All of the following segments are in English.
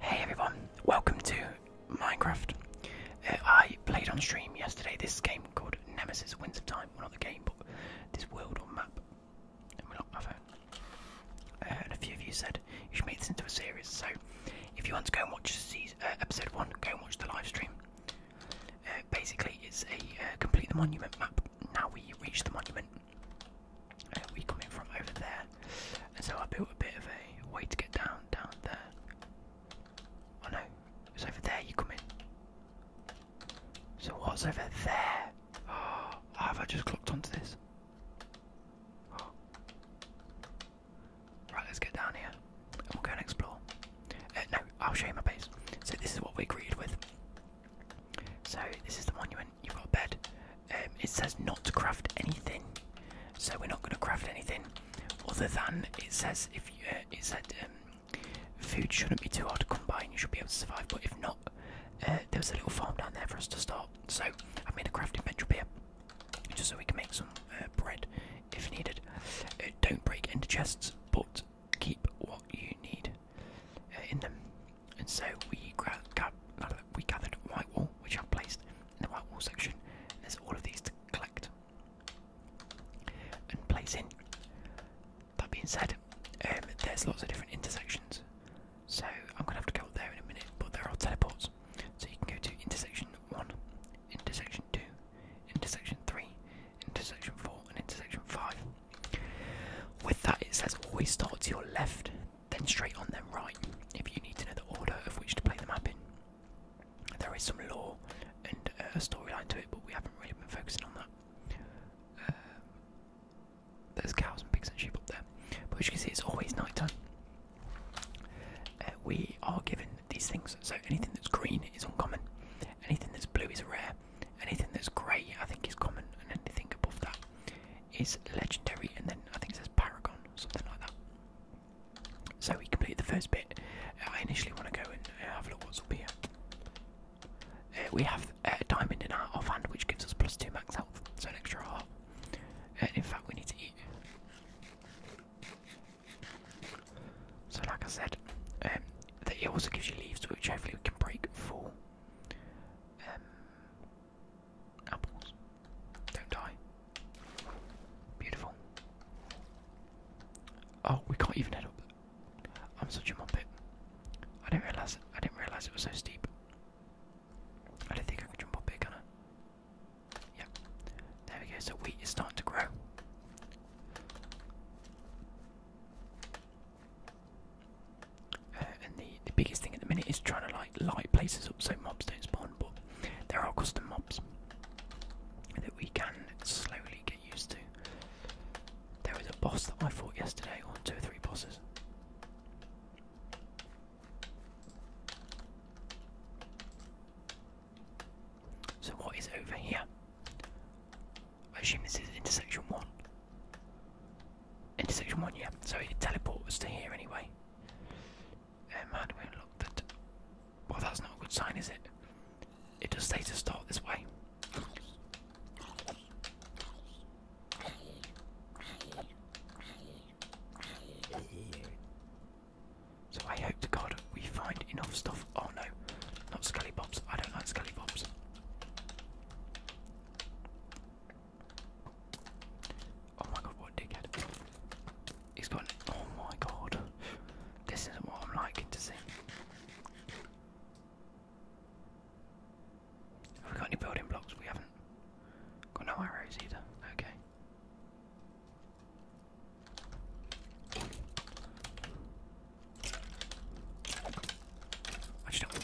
Hey everyone, welcome to Minecraft. Uh, I played on stream yesterday this game called Nemesis Winds of Time. Well, not the game, but this world or map. Uh, and a few of you said you should make this into a series. So if you want to go and watch season, uh, episode 1, go and watch the live stream. Uh, basically, it's a complete monument map. Now we reach the monument we come in from over there. And so I built a bit of a way to get down, down there. Oh no, it's over there you come in. So what's over there? have I just clocked onto this? Right, let's get down here. And we'll go and explore. Uh, no, I'll show you my base. So this is what we're greeted with. So this is the monument you go to bed. Um, it says not to craft anything, so we're not going to craft anything other than it says if uh, it said um, food shouldn't be too hard to come by and you should be able to survive. But if not, uh, there was a little farm down there for us to start. So I made a crafting bench up here, just so we can make some uh, bread if needed. Uh, don't break into chests, but keep what you need uh, in them. And so we gra we gathered white wall, which I've placed in the white wall section. there's all of these to collect and place in. That being said, um, there's lots of different intersections. So I'm gonna have to go up there in a minute, but there are teleports. So you can go to intersection one, intersection two, intersection three, intersection four, and intersection five. With that, it says always start to your left then straight on them right if you need to know the order of which to play the map in. There is some lore and uh, a storyline to it, but we haven't really been focusing on that. Uh, there's cows and pigs and sheep up there, but as you can see, it's always night time. Uh, we are given these things, so anything that's green is uncommon, anything that's blue is rare, anything that's grey I think is common, and anything above that is legendary, and then I think it says Paragon, something like that. So we complete the first bit. I initially want to go and uh, have a look what's up here. Uh, we have uh, a diamond in our offhand, which gives us plus two max health, so an extra heart. And in fact, we need to eat. So, like I said, um, it also gives you leaves, which hopefully we can break for. Apples. Don't die. Beautiful. Oh, we can't even head up. I'm such a muppet. I didn't realise I didn't realise it was so steep. I don't think I can jump up here, can Yep. There we go, so wheat is starting to grow. Uh, and the, the biggest thing at the minute is trying to like light places up so mobs don't spawn, but there are custom mobs that we can slowly get used to. There was a boss that I fought yesterday, or two or three bosses. So what is over here? I assume this is intersection one. Intersection one, yeah. So it teleports to here anyway. Um, we unlock that? Well, that's not a good sign, is it? It does say to start this way. So I hope to God we find enough stuff. Oh no, not Scully Bobs. I don't like Scully Bobs. Oh my god, what dickhead. He's got oh my god. This isn't what I'm liking to see. we got any building blocks? We haven't. Got no arrows either. Okay. I just do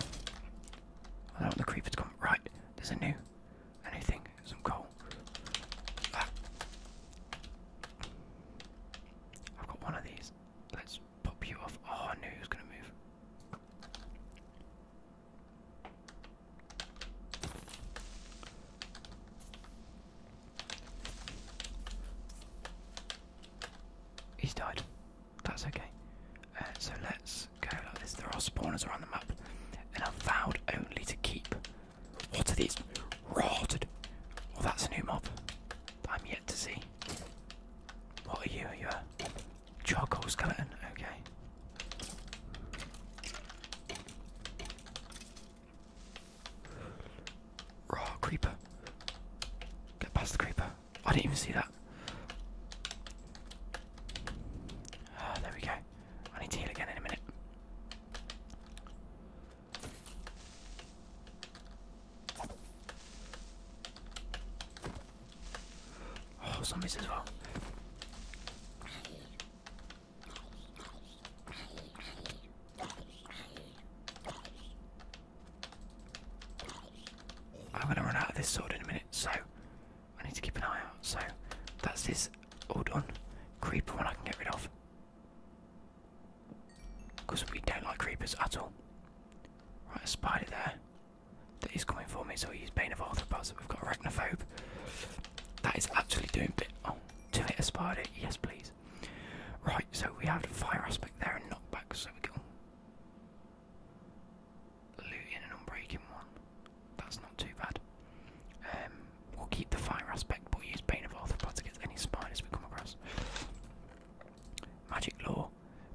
I do the creeper to come. Right. There's a new, a thing. Some coal. Ah. I've got one of these. Let's pop you off. Oh, I knew he was gonna move. He's died. That's okay. Uh, so let's go like this. There are spawners around the map, and I've vowed only to keep. What are these? Rotted. Well, that's a new mob. I'm yet to see. What are you? Are you a charcoal skeleton? Okay. Raw creeper. Get past the creeper. I didn't even see that. Ah, there we go. I need to heal again in a minute. Oh, zombies as I'm gonna run out of this sword in a minute, so I need to keep an eye out. So that's this all done. Creeper one I can get rid of. Because we don't like creepers at all. Right, a spider there. That is coming for me, so we use Bane of Arthropods. We've got Arachnophobe. That is actually doing bit. Oh, to hit a spider, yes, please. Right, so we have the fire aspect there and knockback, so we go looting and unbreaking one. That's not too bad. Um, we'll keep the fire aspect, but we'll use pain of Arthropod against any spiders we come across. Magic Law,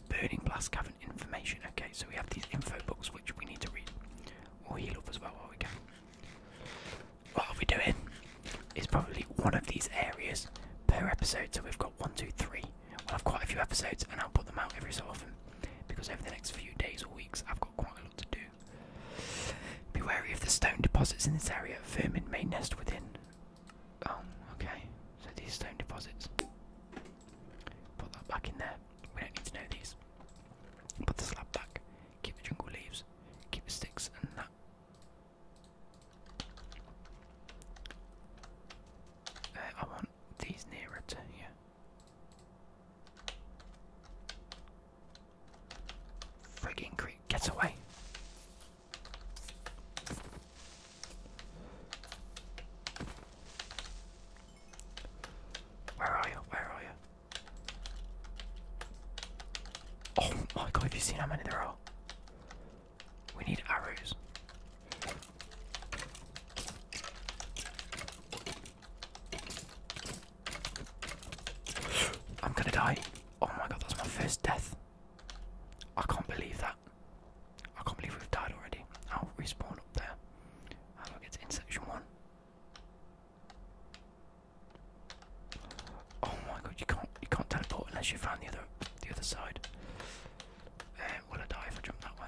Burning Blast Cavern Information. Okay, so we have these info books which we need to read. We'll heal up as well while we go. What are we doing? It's probably one of these areas per episode, so we've got one, two, three. We'll have quite a few episodes, and I'll put them out every so often because over the next few days or weeks, I've got quite a lot to do. Be wary of the stone deposits in this area. Vermin may nest within. Oh, okay. So these stone deposits. Put that back in there. We don't need to know these. Put the slab back. Keep the jungle leaves. Keep the sticks and that. Uh, I want these nearer to here. Frigging creep gets away. Where are you? Where are you? Oh my have you seen how many there are? We need arrows. I'm gonna die. Oh my god, that's my first death. I can't believe that. I can't believe we've died already. I'll respawn up there. How do I get to intersection one? Oh my god, you can't you can't teleport unless you find the other the other side. Um, will I die if I jump that way?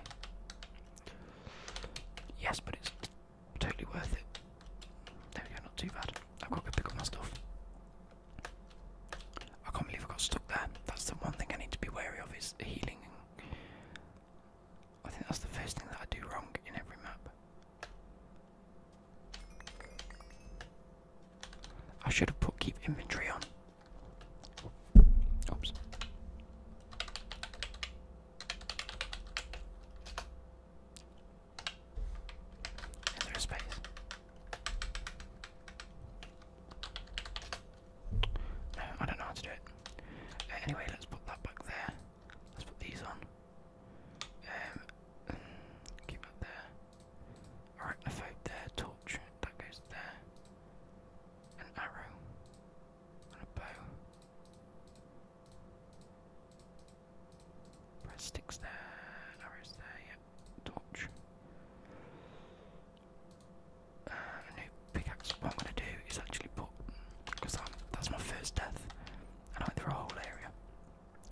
Yes, but it's totally worth it. There we go, not too bad. I've got to pick up my stuff. I can't believe I got stuck there. That's the one thing I need to be wary of is healing. I think that's the first thing that I do wrong in every map. I should have put keep inventory on. Oops. Is space? I don't know how to do it. Uh, anyway, let's put that back there. Let's put these on. Um, keep that there. Arachnophobe there, torch, that goes there. An arrow on Press sticks there, arrows there, yep, torch. Uh, a new pickaxe. What I'm going to do is actually put, because that's my first death, and I like through a whole area.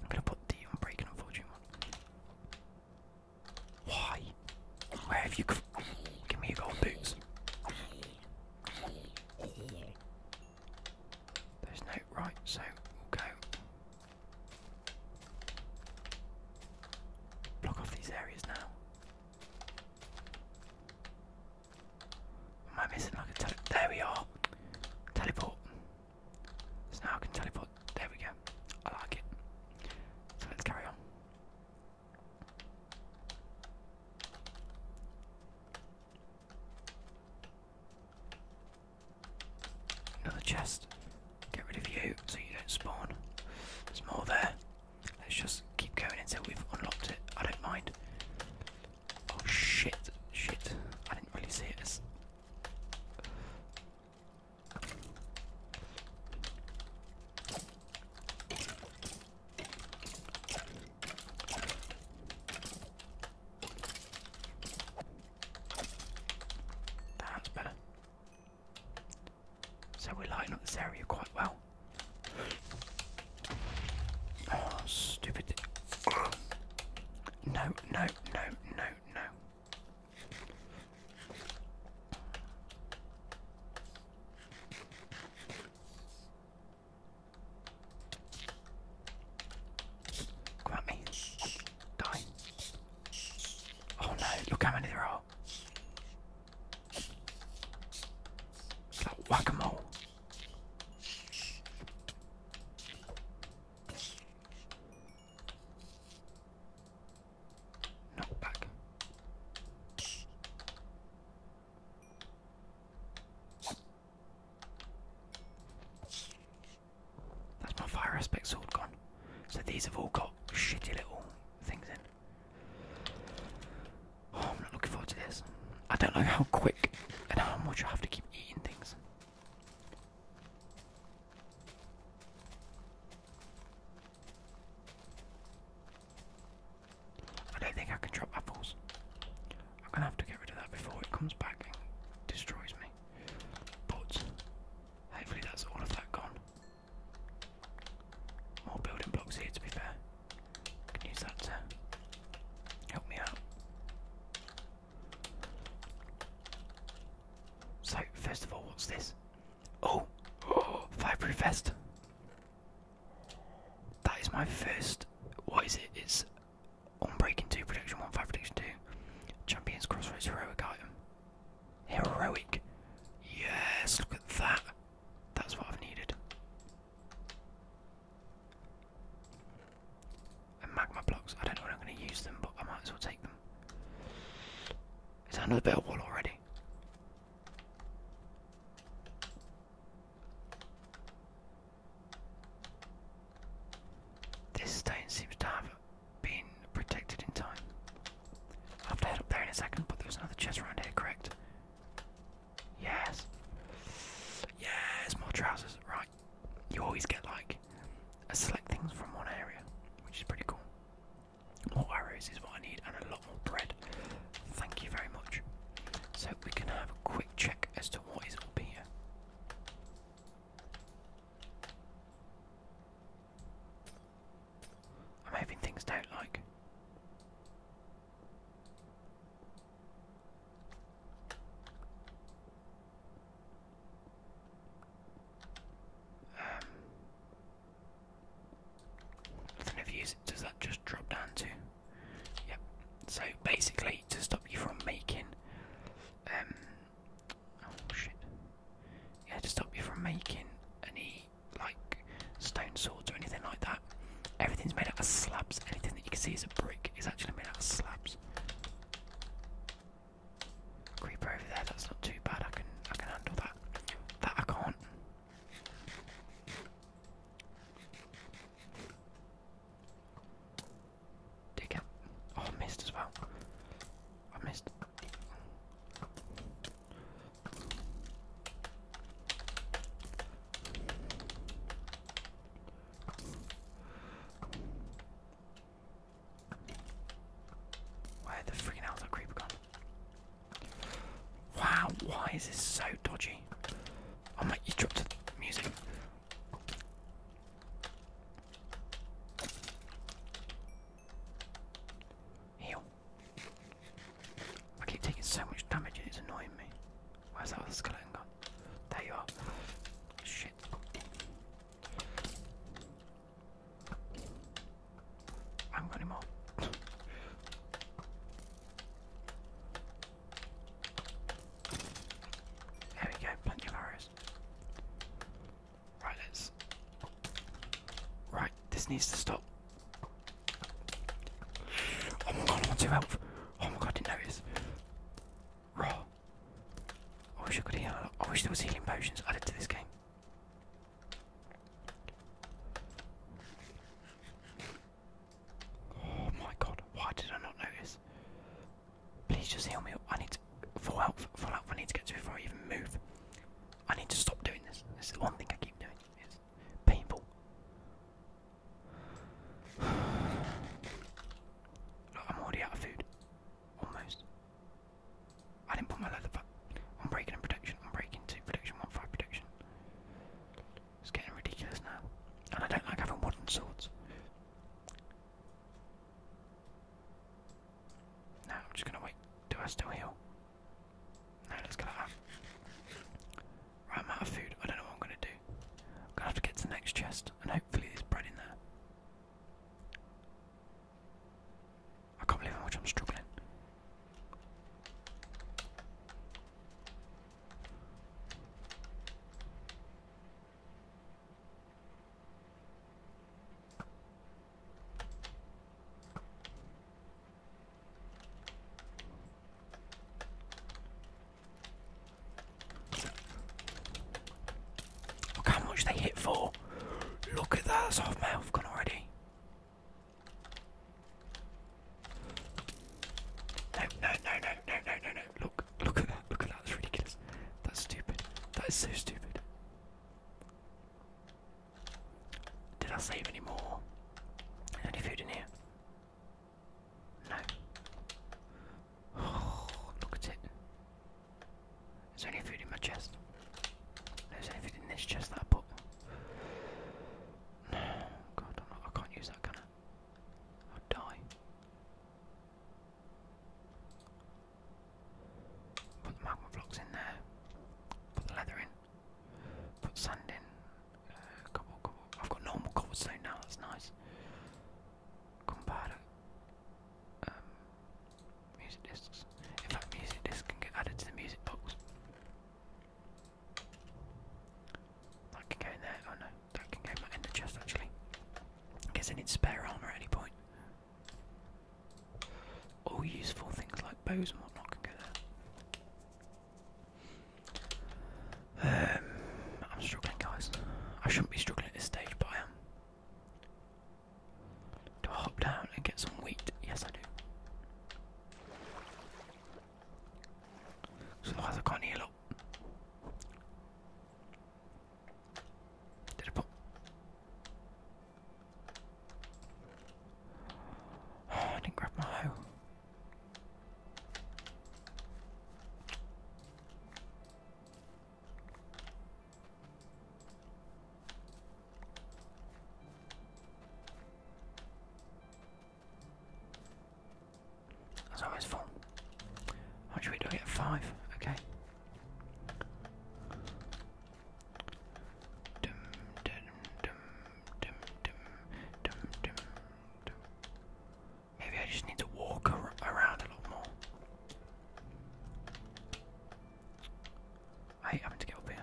I'm going to put the Unbreaking Unfortunate one. Why? Where have you come? Give me your golden boots. There's no right, so we'll go. Block off these areas now. Am I missing like a tele- There we are! Teleport. So now I can teleport. There we go. I like it. So let's carry on. Another chest. Get rid of you so you don't spawn. There's more there. Let's just keep going until we've unlocked it. I don't mind. Oh shit, shit. I didn't really see it that's better. So we're lighting up this area quite well. Oh, stupid. No, no, no, no, no. Come at me. Die. Oh no, look how many there are. It's like Knock back. That's my fire aspect sword gone. So these have all got shitty little things in. Oh, I'm not looking forward to this. I don't know how quick and how much I have to keep eating things. I don't think I can drop apples. I'm gonna have to get rid of that before it comes back and destroys me. But hopefully that's all of that gone. More building blocks here to be fair. can use that to help me out. So first of all what's this? Oh! Fireproof vest! That is my first. What is it? It's on breaking 2, Prediction 1, 5, Prediction 2, Champions Crossroads Heroic Item. Heroic? Yes, look at that. That's what I've needed. And magma blocks. I don't know when I'm going to use them, but I might as well take them. Is another bit of wall already? This stone seems to have been protected in time. have to head up there in a second, but there another chest around here, correct? Yes. Yes, more trousers. Right. You always get like a select things from one area, which is pretty cool. More arrows is what I need, and a lot more bread. Thank you very much. So we can have a quick check as to what is up here. I'm hoping things don't like. Um, does that just drop down to? Yep. So basically, to stop you from making, um, oh shit, yeah, to stop you from making any like stone swords or anything like that. Everything's made out of slabs. Anything that you can see is a brick is actually made out of slabs. Creeper over there. That's not too bad. I can I can handle that. That I can't. Dig up. Oh, I missed as well. I missed. Where the freaking hell's creeper Wow, why is this so dodgy? Oh my, you dropped the music. Heal. I keep taking so much damage and it's annoying me. Where's that other skeleton There you are. Shit. I am running out. there we go, plenty of arrows. Right, let's. Right, this needs to stop. Oh my god, I'm on two health. Oh my god, I didn't notice. Raw. I wish I could heal. I wish there was healing potions added to this game. Oh my god, why did I not notice? Please just heal me. I need to full health, full health. I need to get to before I even move. I need to stop doing this. This is the one thing I keep doing. It's painful. Look, I'm already out of food. Almost. I didn't put my leather back. I'm breaking in protection. I'm breaking two protection, one five protection. It's getting ridiculous now. And I don't like having wooden swords. Now I'm just gonna wait. Do I still heal? No, let's get out. Right, i of food. I don't know what I'm gonna do. gonna have to get the next chest and hopefully there's bread in there. I can't believe how much I'm struggling. Look how much they hit for. Look at that, soft mouth gone already. No, no, no, no, no, no, no, no. Look, look at that, look at that. That's ridiculous. That's stupid. That is so stupid. Did I save any more? Is any food in here? No. look at it. Is there any food in my chest? there's only food in this chest that I God, i can't use that, kind of. I'll die. Put the magma blocks in there. Put the leather in. Put sand in. Uh, cobble, cobble. I've got normal cobblestone now, that's nice. Compare um, music discs. In fact, music discs can get added to the music box. That can go in there. Oh no, that can go in the chest actually. I guess I need spare armour at any point. All useful things like bows and whatnot can go there. Um, I'm struggling, guys. I shouldn't be struggling at this stage, but I am. Do I hop down and get some wheat? Yes, I do. Sono andato con Elo. Vedere un po'. Oh, I didn't grab my hoe. That's always fun. How should we do at five? Okay. Maybe I just need to walk around a lot more. I hate having to get up here.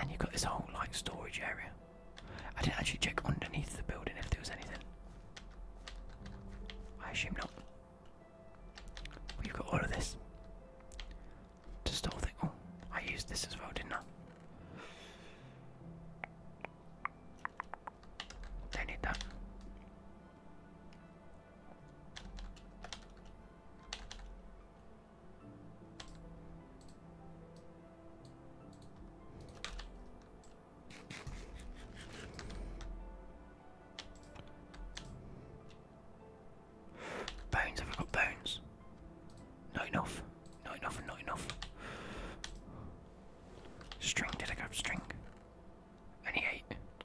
And you've got this whole like storage area. I didn't actually check underneath the building if there was anything. I assume not. We've got all of this. To store things. Oh, I used this as well, didn't I? Don't need Bones, have I got bones? Not enough, not enough, not enough. String, did I grab string? Only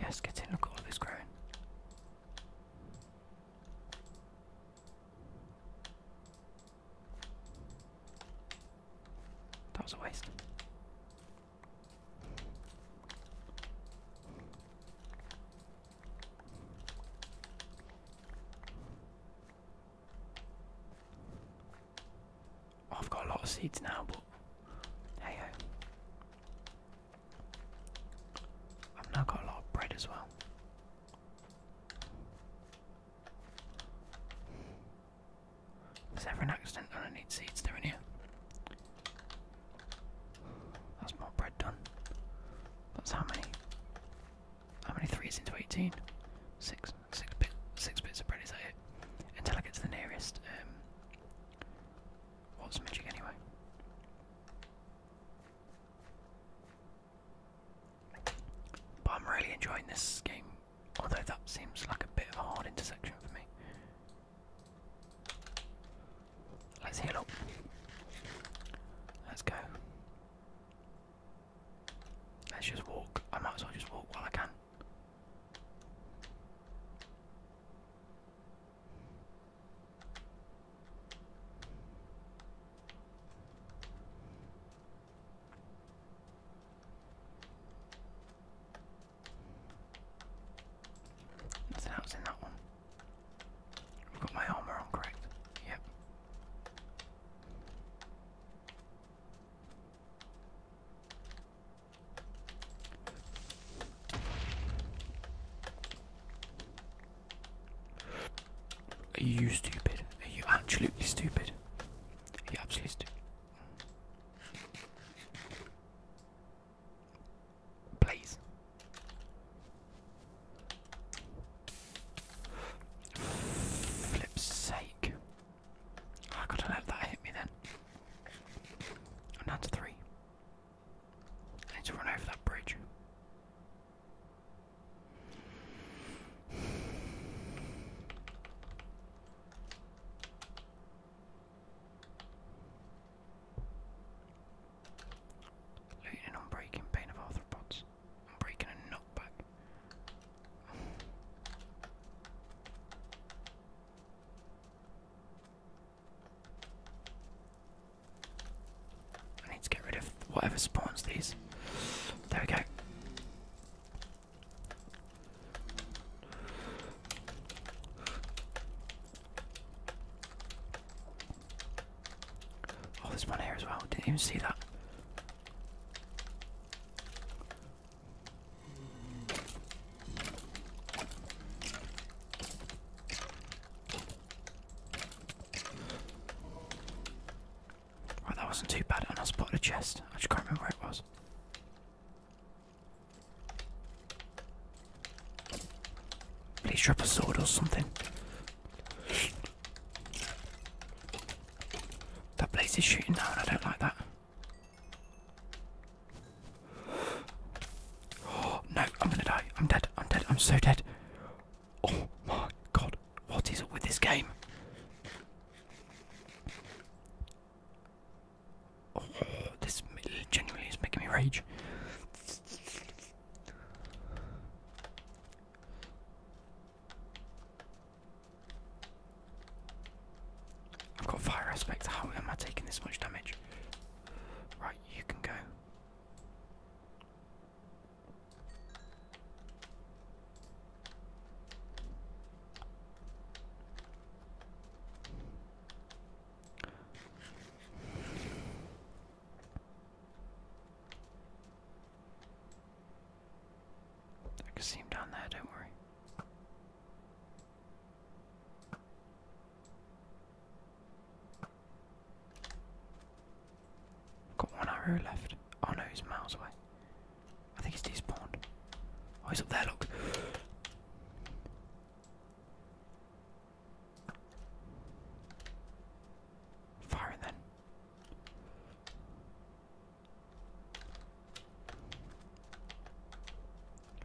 Yes, get in, look at all this growing. That was a waste. Oh, I've got a lot of seeds now, but hey ho. I've now got a lot of bread as well. Is there an accident and I need seeds doing here? That's more bread done. That's how many? How many threes into 18? six, six bits of bread, is that Until I get to the nearest. Um, what's magic anyway? But I'm really enjoying this game, although that seems like a bit of a hard intersection for me. Let's heal up. Let's go. Let's just walk. I might as well just walk while I can. Nothing else in that one. I've got my armor on, correct? Yep. Are you stupid? Are you absolutely stupid? Are you absolutely stupid? Please. Flip's sake. I gotta let that hit me then. i three. need to run over that bridge. Looting on breaking pain of arthropods. I'm breaking a nut back. I need to get rid of whatever spawns these. There we go. Oh, there's one here as well. Didn't even see that. Right, oh, that wasn't too bad, and I spotted a chest. I just can't remember where it was. Please drop a sword or something. That place is shooting down, I don't like that. no, I'm gonna die. I'm dead, I'm dead, I'm so dead. Oh my god, what is up with this game? Oh, this genuinely is making me rage. I've got fire aspect. How am I taking this much damage? Right, you can go. I can see him down there, don't worry. Got one arrow left. Oh no, he's miles away. I think he's despawned. Oh, he's up there, look. Firing then.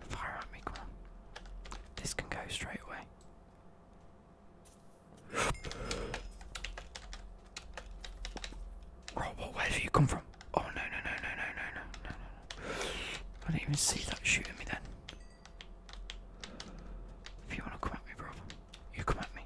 Fire at me, come on. This can go straight away. Robot, where have you come from? Oh no no no no no no no no no! I didn't even see that shooting me then. If you wanna come at me, brother, you come at me.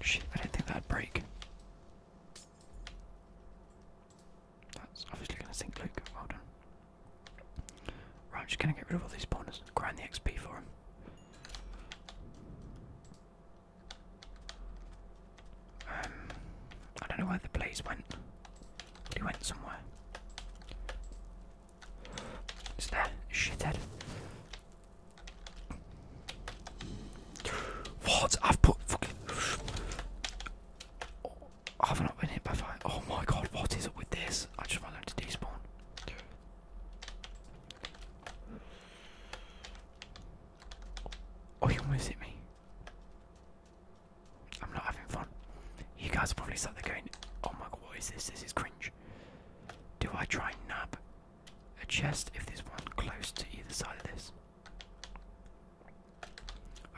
Shit, I didn't think that'd break. That's obviously going to sink Luke. Well done. Right, I'm just gonna get rid of all these spawners grind the XP for them. Um, I don't know where the blaze went, he went somewhere. It's there, shithead. What? I've put I have not been hit by fire. Oh my god, what is up with this? I just want them to despawn. Oh, you almost hit me. I'm not having fun. You guys are probably sat there going, oh my god, what is this? This is cringe. Do I try and nab a chest if there's one close to either side of this?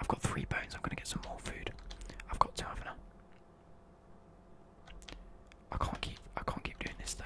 I've got three bones, I'm gonna get some more food. I've got two, haven't i have got 2 have not I can't keep I can't keep doing this though.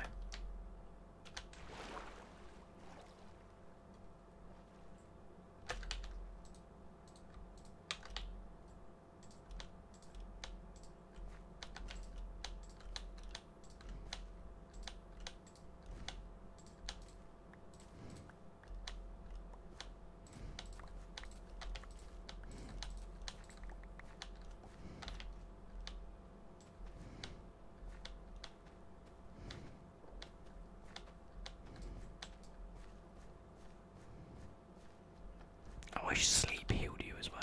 I wish sleep healed you as well.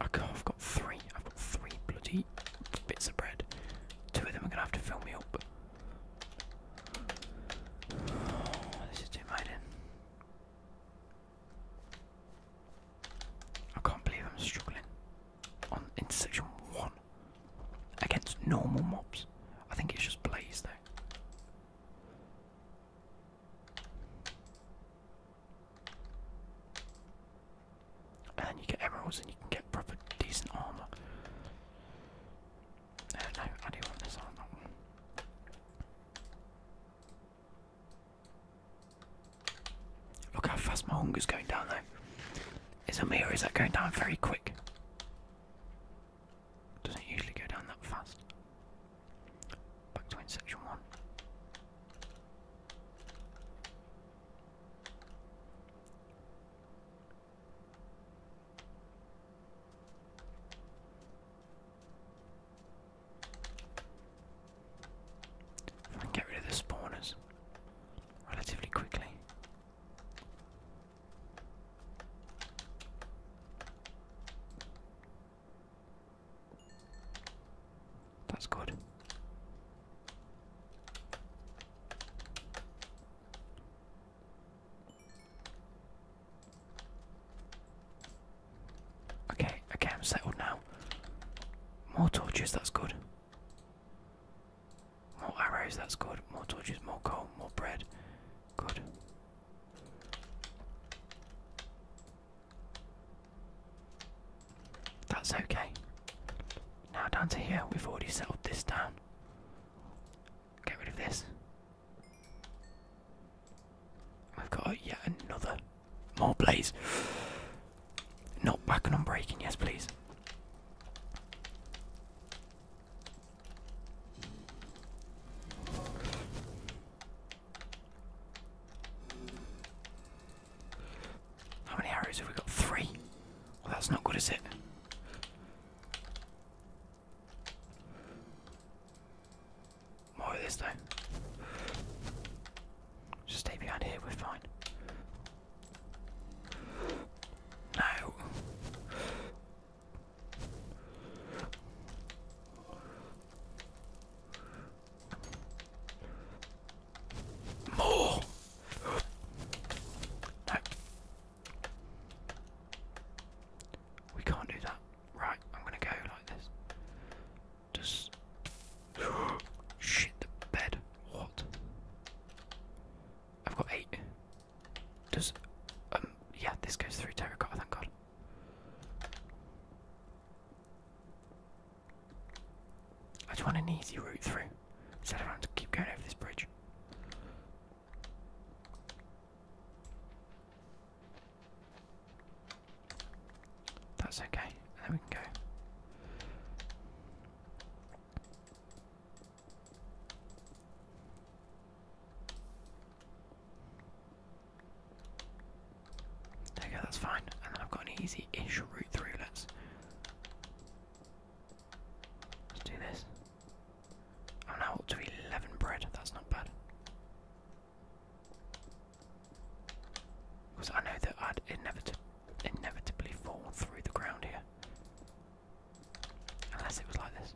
I have got three. I've got three bloody bits of bread. Two of them are gonna have to fill me up. Oh, this is too mining. I can't believe I'm struggling on in one against normal mobs. I think it's just blaze though. And you get emeralds and you can get proper decent armor. Look how fast my hunger is going down though. Is me or is that going down very quick? Doesn't usually go down that fast. Back to in one get rid of the spawners relatively quickly. That's good. Okay, okay, I'm settled now. More torches, that's good. More arrows, that's good. More torches, more coal, more bread. Good. That's okay. Now down to here, we've already settled this down. Get rid of this we have got yet another. More blaze. Not backing on breaking, yes please. How many arrows have we got? Three? Well that's not good is it? More of this though. Just stay behind here, we're fine. No. More. No. We can't do that. Right, I'm gonna go like this. Just. Shit, the bed. What? I've got eight. Does. Um, yeah, this goes through terracotta, thank god. I just want an easy route through. Instead of having to keep going over this bridge. That's okay. There we go. There we go, that's fine. And then I've got an easy ish route through. Let's, let's do this. I'm now up to 11 bread, that's not bad. Because I know that I'd inevit inevitably fall through the ground here. Unless it was like this.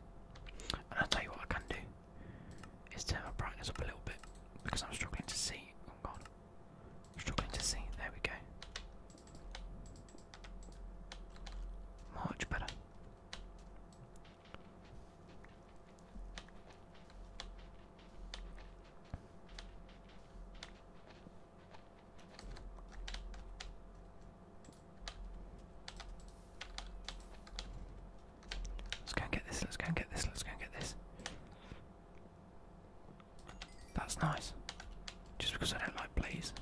And i tell you what I can do is turn my brightness up a little bit because I'm struggling to see. Oh god. struggling to see. There we go. Much better. Let's go and get this, let's go and get this, let's go and get this. That's nice. Just because I don't like please.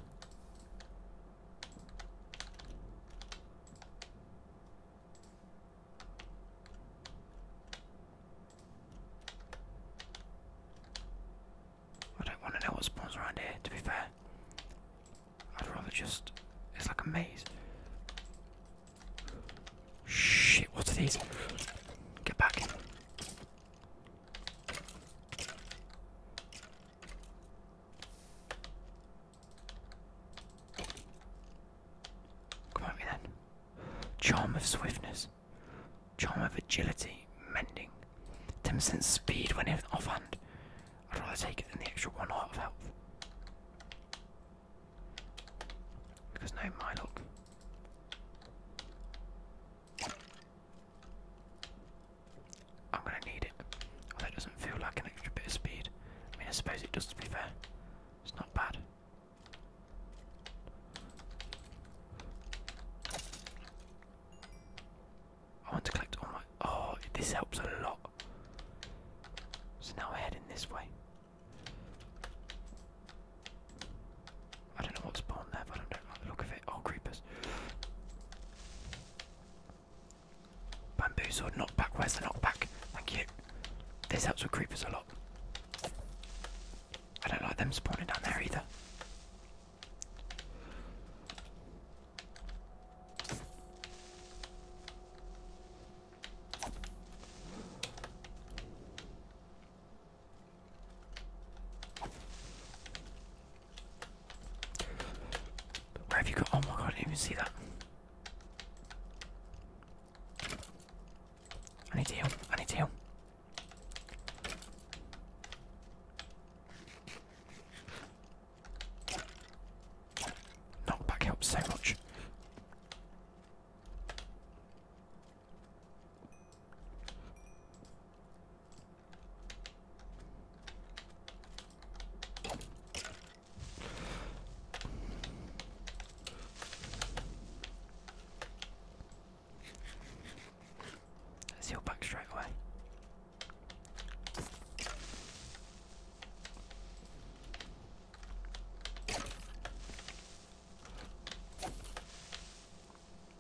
I don't want to know what spawns around here, to be fair. I'd rather just. It's like a maze. Shit, what are these? Get back. Come at me then. Charm of swiftness, charm of agility, mending. 10% speed when it's offhand. I'd rather take it than the extra one heart of health. Because no, my I'm gonna need it. Well, that doesn't feel like an extra bit of speed. I mean, I suppose it does, to be fair. It's not bad. I want to collect all my. Oh, this helps a lot. So now we're heading this way. I don't know what's born there, but I don't like the look of it. Oh, creepers. Bamboo sword, knockback. Where's the knockback? Thank you. This helps with creepers a lot. I don't like them spawning down there either. Where have you got? Oh my god, I didn't even see that. I need to heal. I need to heal. Knockback helps so much. Let's heal back straight away.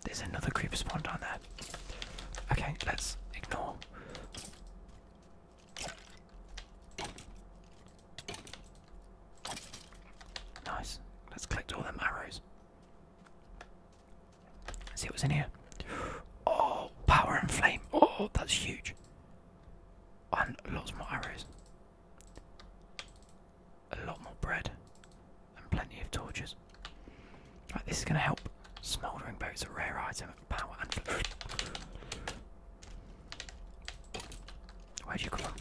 There's another creeper spawn down there. Okay, let's ignore Nice. Let's collect all them arrows. Let's see what's in here. Oh, power and flame. Oh, that's huge. And lots more arrows. A lot more bread. And plenty of torches. Right, this is going to help. Smouldering boat's a rare item. Where'd you come from?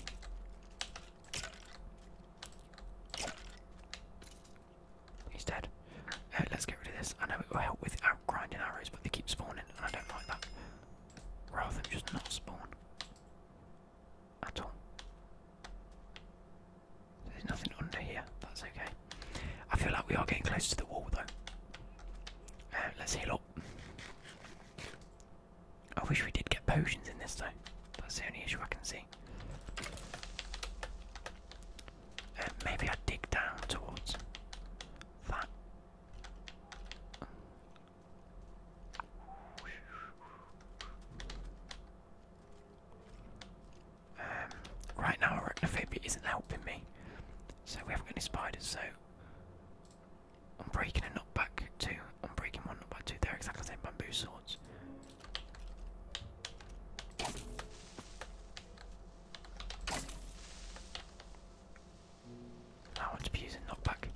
He's dead. Uh, let's get rid of this. I know it will help with grinding arrows, but they keep spawning, and I don't like that. Rather than just not spawn at all. There's nothing under here. That's okay. I feel like we are getting close to the wall though. Uh, let's heal up. I wish we did get potions in this though. That's the only issue I can see. Uh, maybe I dig down towards that. Um, right now, arachnophobia isn't helping me, so we haven't got any spiders. So I'm breaking a knockback too. i I'm breaking one knockback too. they They're exactly the same bamboo swords. I want to be using knockback.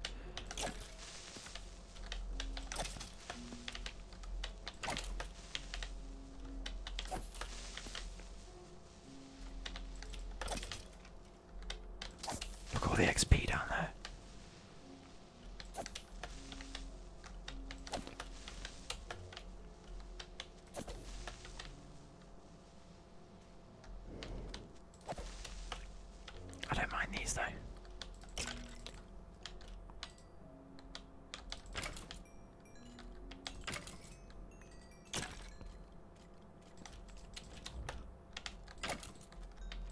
Look all the XP down there. I don't mind these though.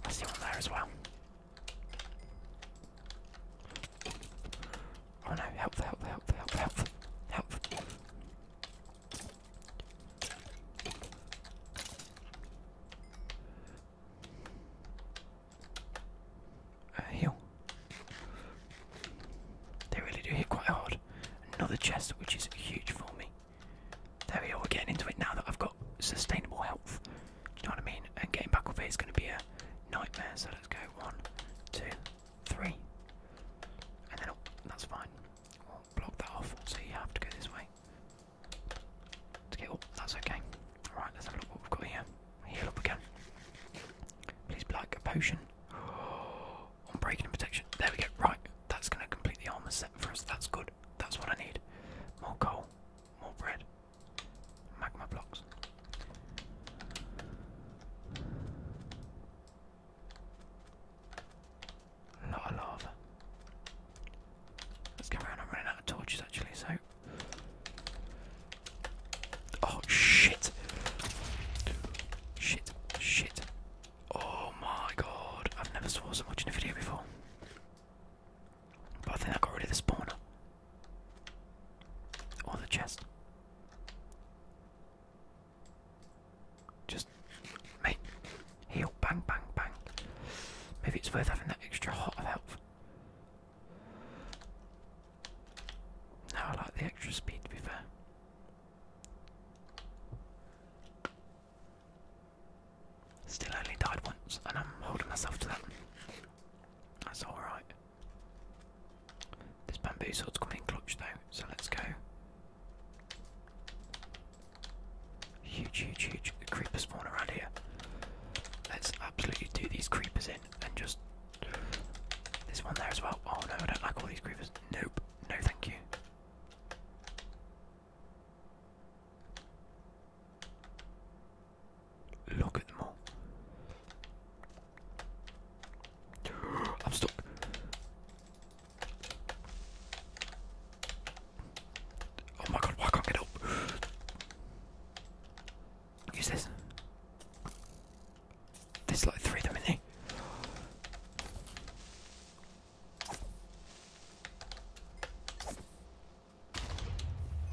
I see one there as well. Oh no, health, health, health, health, health, health. Uh, heal. They really do hit quite hard. Another chest, which is huge for me. There we are, we're getting into it now that I've got sustainable health. Do you know what I mean? And getting back up it is going to be a nightmare. So let's go one, two, three. And then oh, That's fine. block that off, so you have to go this way. To get up, that's okay. Alright, let's have a look what we've got here. Heal up again. Please, block a potion. Oh, on breaking and protection. There we go. Right, that's going to complete the armor set for us. That's good. That's what I need. More coal, more bread, magma blocks. lot of lava. Let's go around. I'm running out of torches actually, so Oh shit! Shit, shit. Oh my god, I've never saw so much in a video before. But I think I got rid of the spawner. Or the chest. Just, mate, heal, bang, bang, bang. Maybe it's worth having that extra hot of health. Now I like the extra speed to be fair. Still only died once, and I'm holding myself to that. That's alright. This bamboo sword's coming clutch though, so let's go. Huge, huge, huge creepers spawn around here. Let's absolutely do these creepers in and just. This one there as well. Oh no, I don't like all these creepers. Nope. No, thank you. Look at them all. I'm stuck. Oh my god, why can't get up? Use this. There's like three of them in there.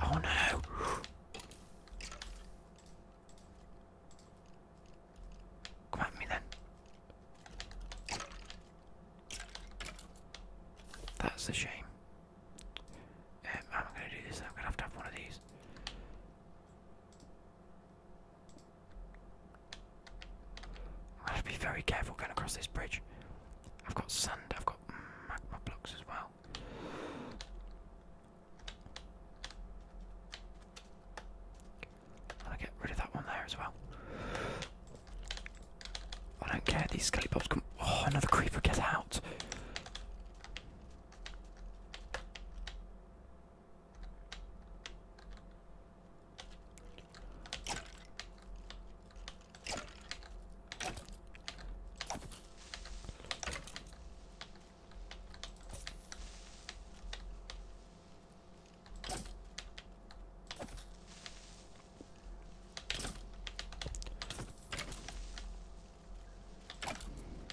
Oh no! Come at me then. That's a shame. Um, I'm gonna do this. I'm gonna have to have one of these. I have to be very careful going across this bridge. I've got sand, I've got magma blocks as well. And I get rid of that one there as well. I don't care, these skelly come. Oh, another creeper, get out!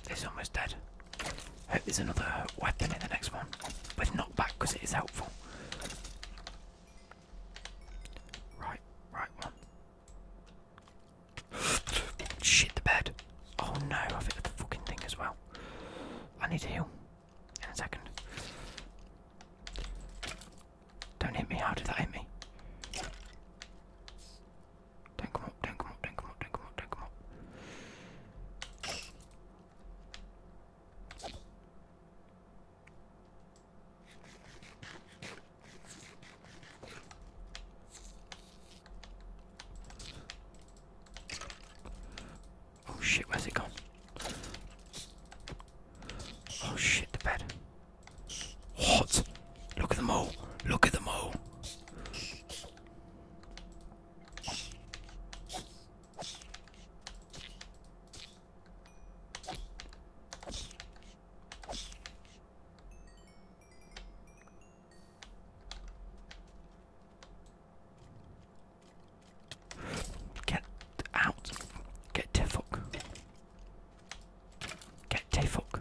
He's almost dead. Hope there's another weapon in the next one but not back because it is helpful. Right, right one. Shit, the bed. Oh no, I've hit the fucking thing as well. I need to heal in a second. Don't hit me, how did that hit me? do come up, do come up, do come up, do come up, do come up. Oh shit, where's it gone? Oh shit, the bed. What? Look at them all. Look at them all. Get out. Get Tefok. Get Tefok.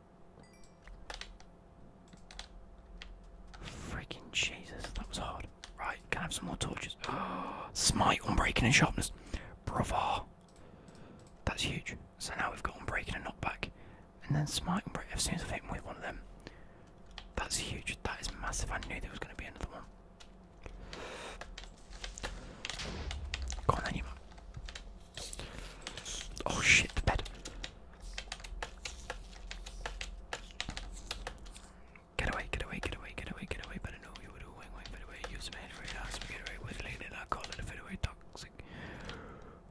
Freaking Jesus, that was hard. Right, can I have some more torches? Oh, Smite, unbreaking, and sharpness. Bravo. That's huge. So now we've got unbreaking and knockback. And then smite, unbreaking. As soon as I've hit him with one of them, that's huge. That is massive. I knew there was going to be another one. Go on, then, you Oh shit, the bed. Get away, get away, get away, get away, get away, but know you would do wing away, use man for your get away with lady I call it a fit away toxic.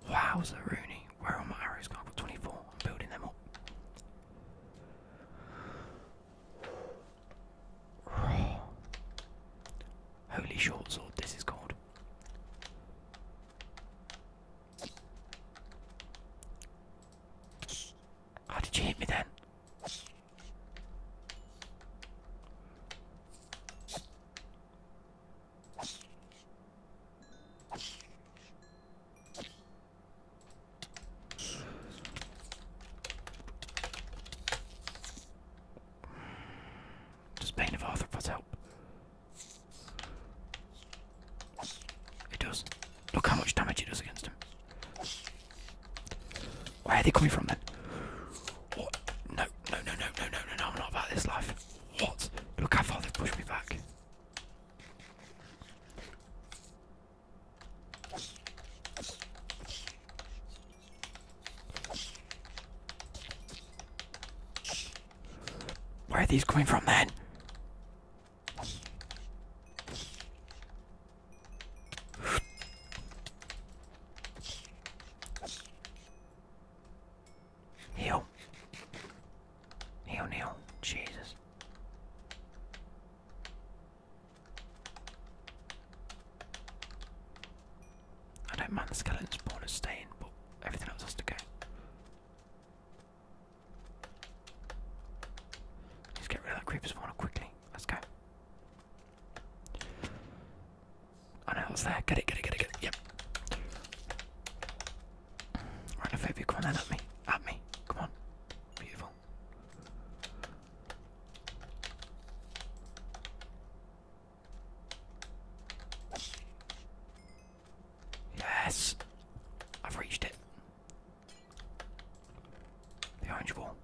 Wow, Rooney, where are my arrows gone? 24, I'm building them up. Holy short sword, this is called. How did you hear me then? Does Bane of Arthur help? It does. Look how much damage it does against him. Where are they coming from then? No, no, no, no, no, no, no, not about this life. What? Look how far they've pushed me back. Where are these coming from then? Heal. Heal, Neil. Jesus. I don't mind the skeletons skeleton spawner staying, but everything else has to go. Just get rid of that creeper spawner quickly. Let's go. I know there. Get it, get it, get it, get it. Yep. Rhinophobia, come on then, at me. At me. Come on. Beautiful. Yes! I've reached it. The orange ball.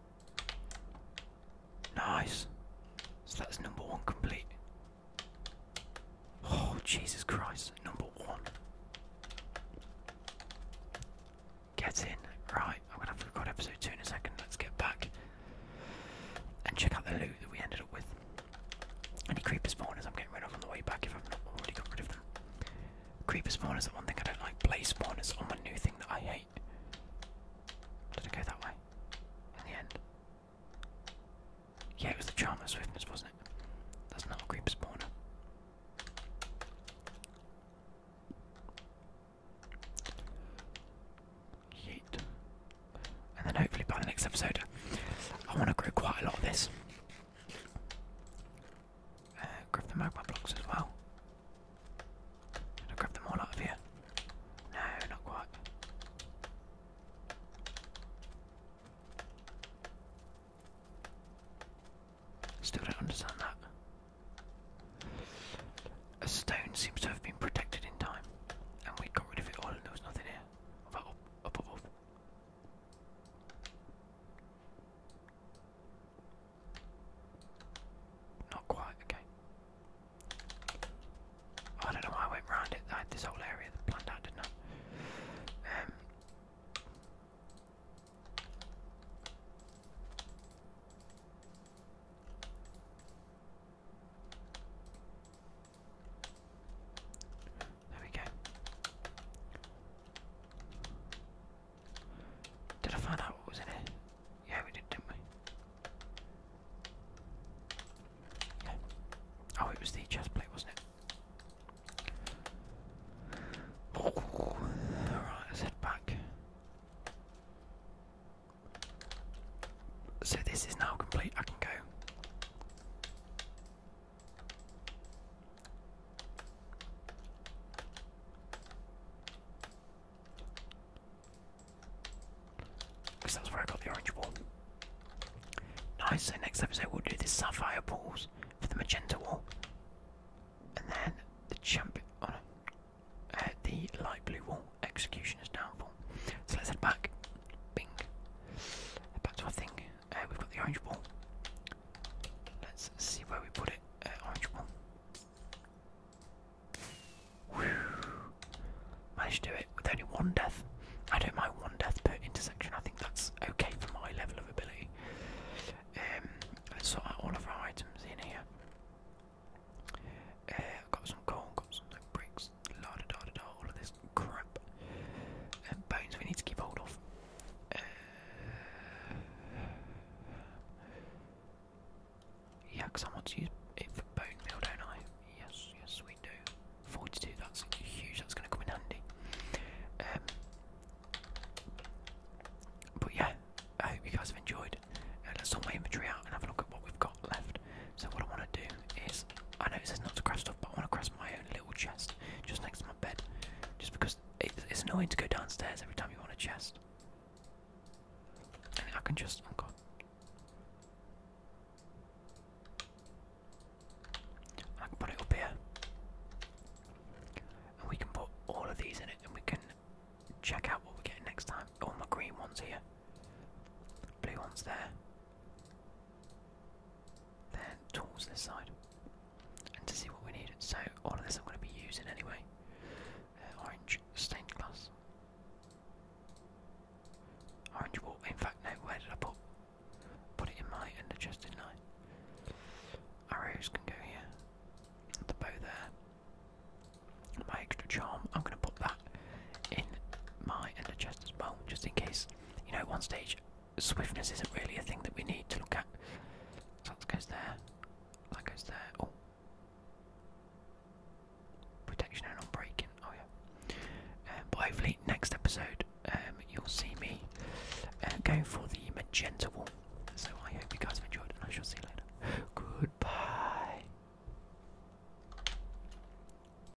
Nice. So that's number one complete. Oh, Jesus Christ. Number one. Get in. Right, I'm going to have to record episode two in a second. Let's get back and check out the loot that we ended up with. Any creeper spawners I'm getting rid of on the way back if I've not already got rid of them. Creeper spawners are one thing I don't like. Blaze spawners are my new thing that I hate. Did I go that way? In the end? Yeah, it was the charm of swiftness, wasn't it? That's not a creeper spawner. Yeet and then hopefully by the next episode, I want to grow quite a lot of this. Uh, grab the magma blocks as well. Should I grab them all out of here? No, not quite. Still don't understand that. A stone seems to have been protected in time, and we got rid of it all, and there was nothing here. Up, up, up, up. Not quite, okay. I don't know why I went round it. I had this whole area that planned out, didn't I? Um, there we go. Did I find out what was in it? Yeah, we did, didn't we? Oh, it was the chest plate, wasn't it? Alright, let's head back. So this is now complete. I can go. that's where I got the orange wall. Nice, so next episode we'll do the sapphire balls for the magenta wall. And then the champion, on oh uh, the light blue wall execution downfall. So let's head back. Bing. back to our thing. Uh, we've got the orange ball. Let's see where we put it. Uh, orange ball. Whew. Managed to do it with only one death. I don't one death per intersection. I think that's okay for my level of ability. Um, let's sort out all of our items in here. Uh, got some coal, got some bricks all of this crap. Uh, bones we need to keep hold of. Uh, yeah, because I want to use it for bone meal, don't I? Yes, yes, we do. 42, that's huge, that's going to come in handy. Um, but yeah, I hope you guys have enjoyed. Uh, let's sort my inventory out and have a look at what we've got left. So what I want to do is, I know it says not to craft stuff, but I want to craft my own little chest just next to my bed, just because it's annoying to go downstairs every time you want a chest. And I can just, oh god. I can put it up here. And we can put all of these in it and we can check out what we are getting next time. All oh, my green ones here. Blue ones there then towards this side and to see what we need. So all of this I'm going to be using anyway. Uh, orange stained glass. Orange wall. In fact, no, where did I put? Put it in my under chest, didn't I? Arrows can go here. The bow there. My extra charm. I'm going to put that in my under chest as well, just in case you know, at one stage, swiftness isn't really a thing that we need to look at. So that goes there, that goes there. Oh, protection and on breaking. Oh yeah. Um, but hopefully, next episode, um, you'll see me uh, going for the magenta one. So I hope you guys have enjoyed, and I shall see you later. Goodbye.